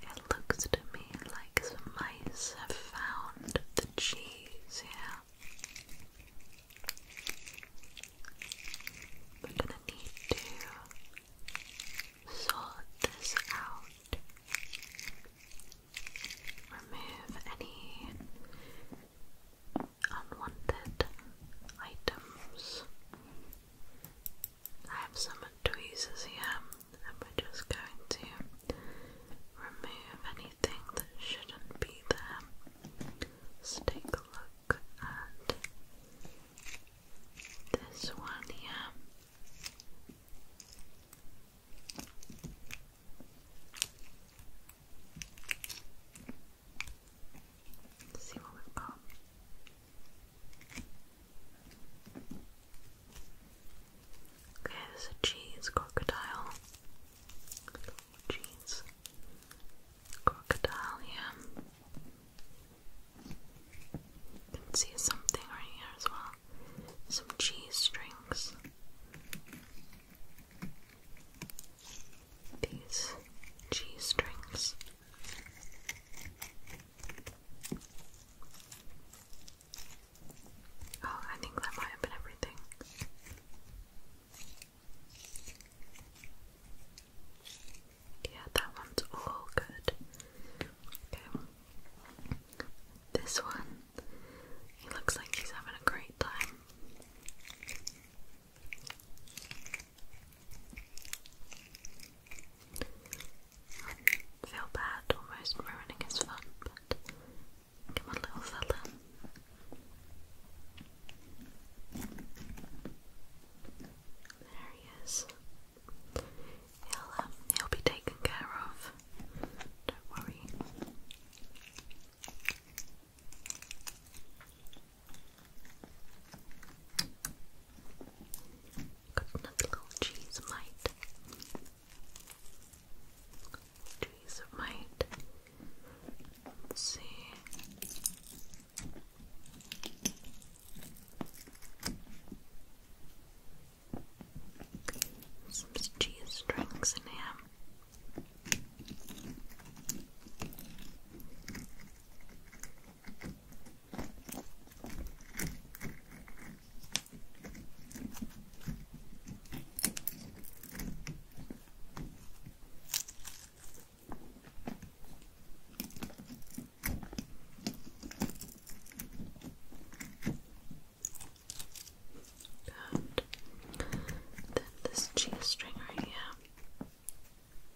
It looks to me like some mice have found the cheese here. We're gonna need to sort this out. Remove any unwanted items. I have some tweezers here, and we're just going to remove anything that shouldn't be there. take a look at this one here. see what we've got. Okay, this a cheese crocodile. Cheese crocodile, yeah. can see something right here as well. Some cheese strings. These cheese strings. Oh, I think that might have been everything. Yeah, that one's all good. Okay. This one, he looks like he's having a great time feel bad almost ruining his fun, but come on, little fella. There he is. He'll, um, he'll be taken care of. Don't worry. Coconut little cheese mite. Cheese mite. Let's see. Some cheese strings in here. Good. Then this cheese string right here.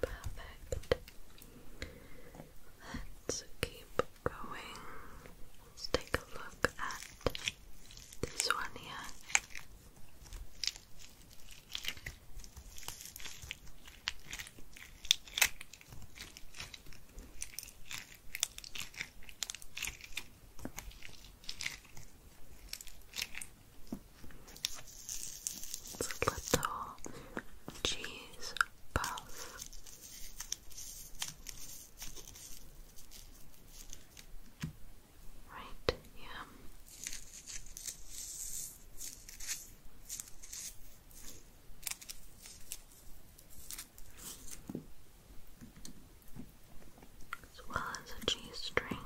Perfect. Let's keep going. Let's take a look at this one here. A little cheese puff. Right, yeah. As well as a cheese string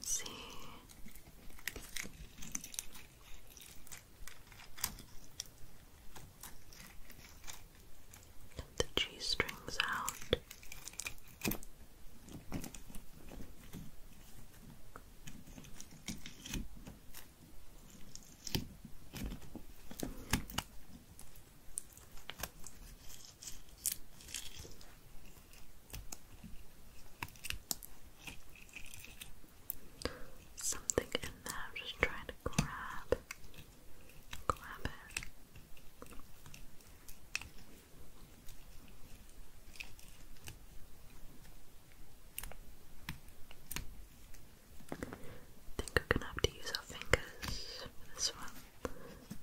see. the G strings out. Something in there, I'm just trying to grab, grab it. I think we're gonna have to use our fingers for this one.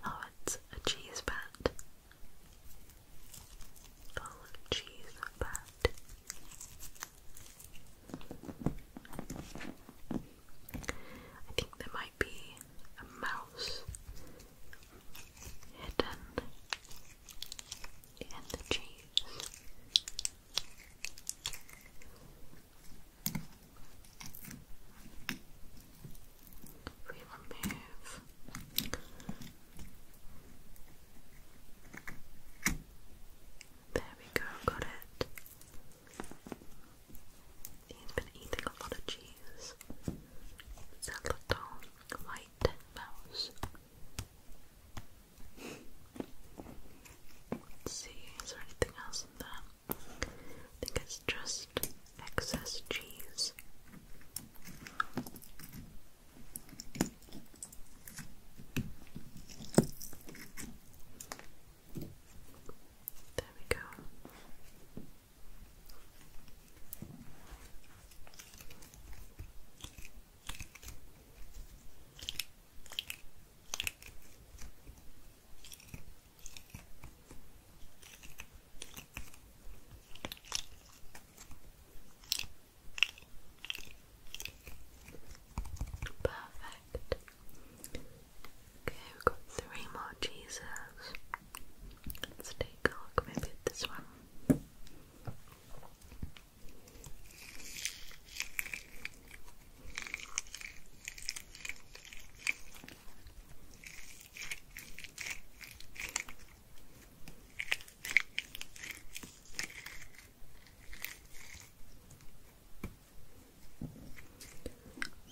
Oh, it's a cheese bat. Full cheese bat. I think there might be a mouse hidden in the cheese. We remove there we go, got it. He's been a lot of cheese. It's white mouse. see, is there anything else in there? I think it's just excess cheese. There we go. Perfect. Okay, we've got three more cheeses. Let's take a look maybe this one.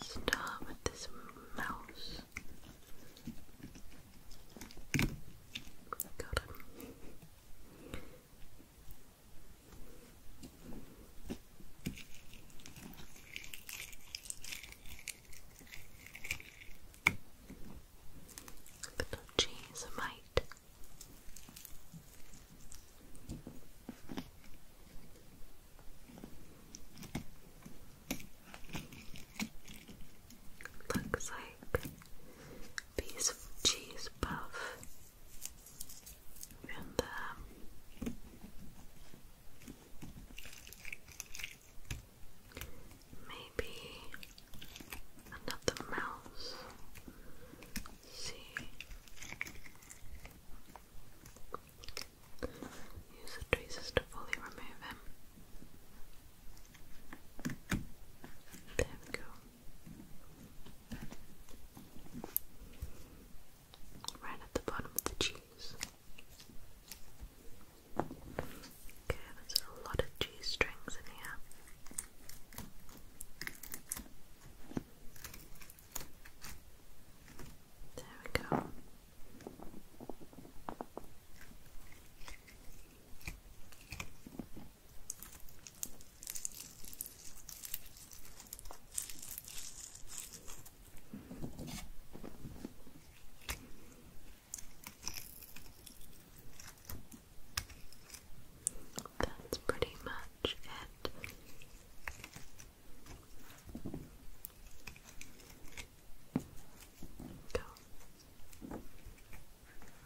Start with this mouse. Got Little cheese might. Looks like piece of cheese puff and um, maybe another mouse. see, use the traces to fully remove him. There we go right at the bottom of the cheese. Okay, there's a lot of cheese strings in here. There we go. That's pretty much it. Go.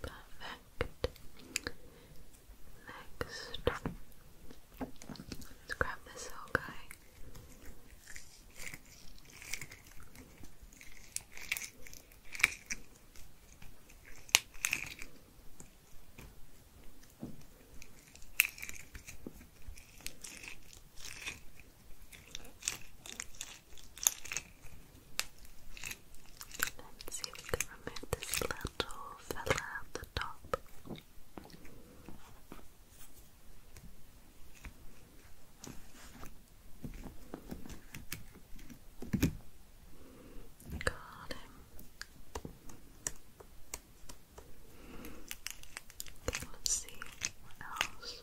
Perfect. Next, let's grab this whole guy. Let's see if we can remove this little fella at the top. Got him. let's see what else.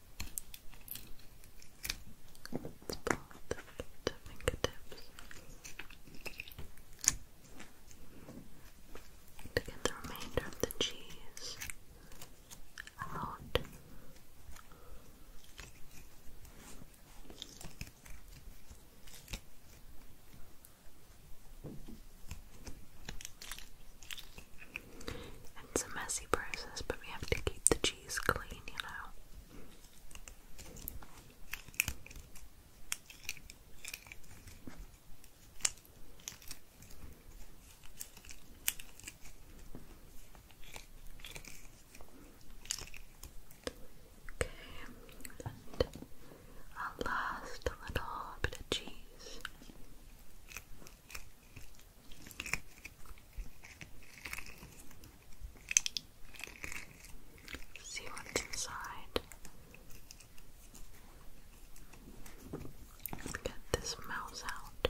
Let's the, fingertips to get the remainder of the cheese out. It's a messy process, but we have to keep the cheese clean, you know. Okay, and last little bit of cheese. See what's inside. get this mouse out.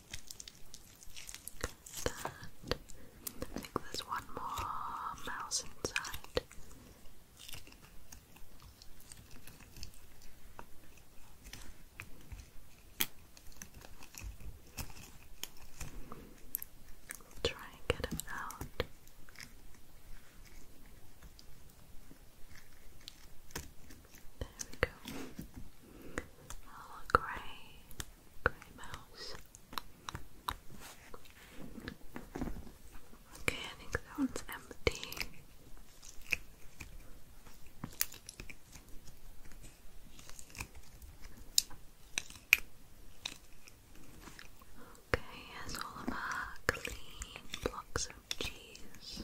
Got that. I think there's one more mouse inside. try and get him out. There we go. Oh, great. Grey mouse. Okay, I think that one's empty. Okay, here's all of our clean blocks of cheese.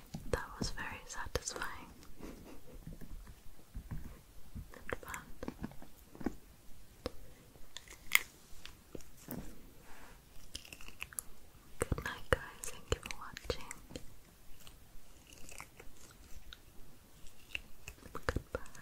That was very satisfying Good night, guys. Thank you for watching. Goodbye.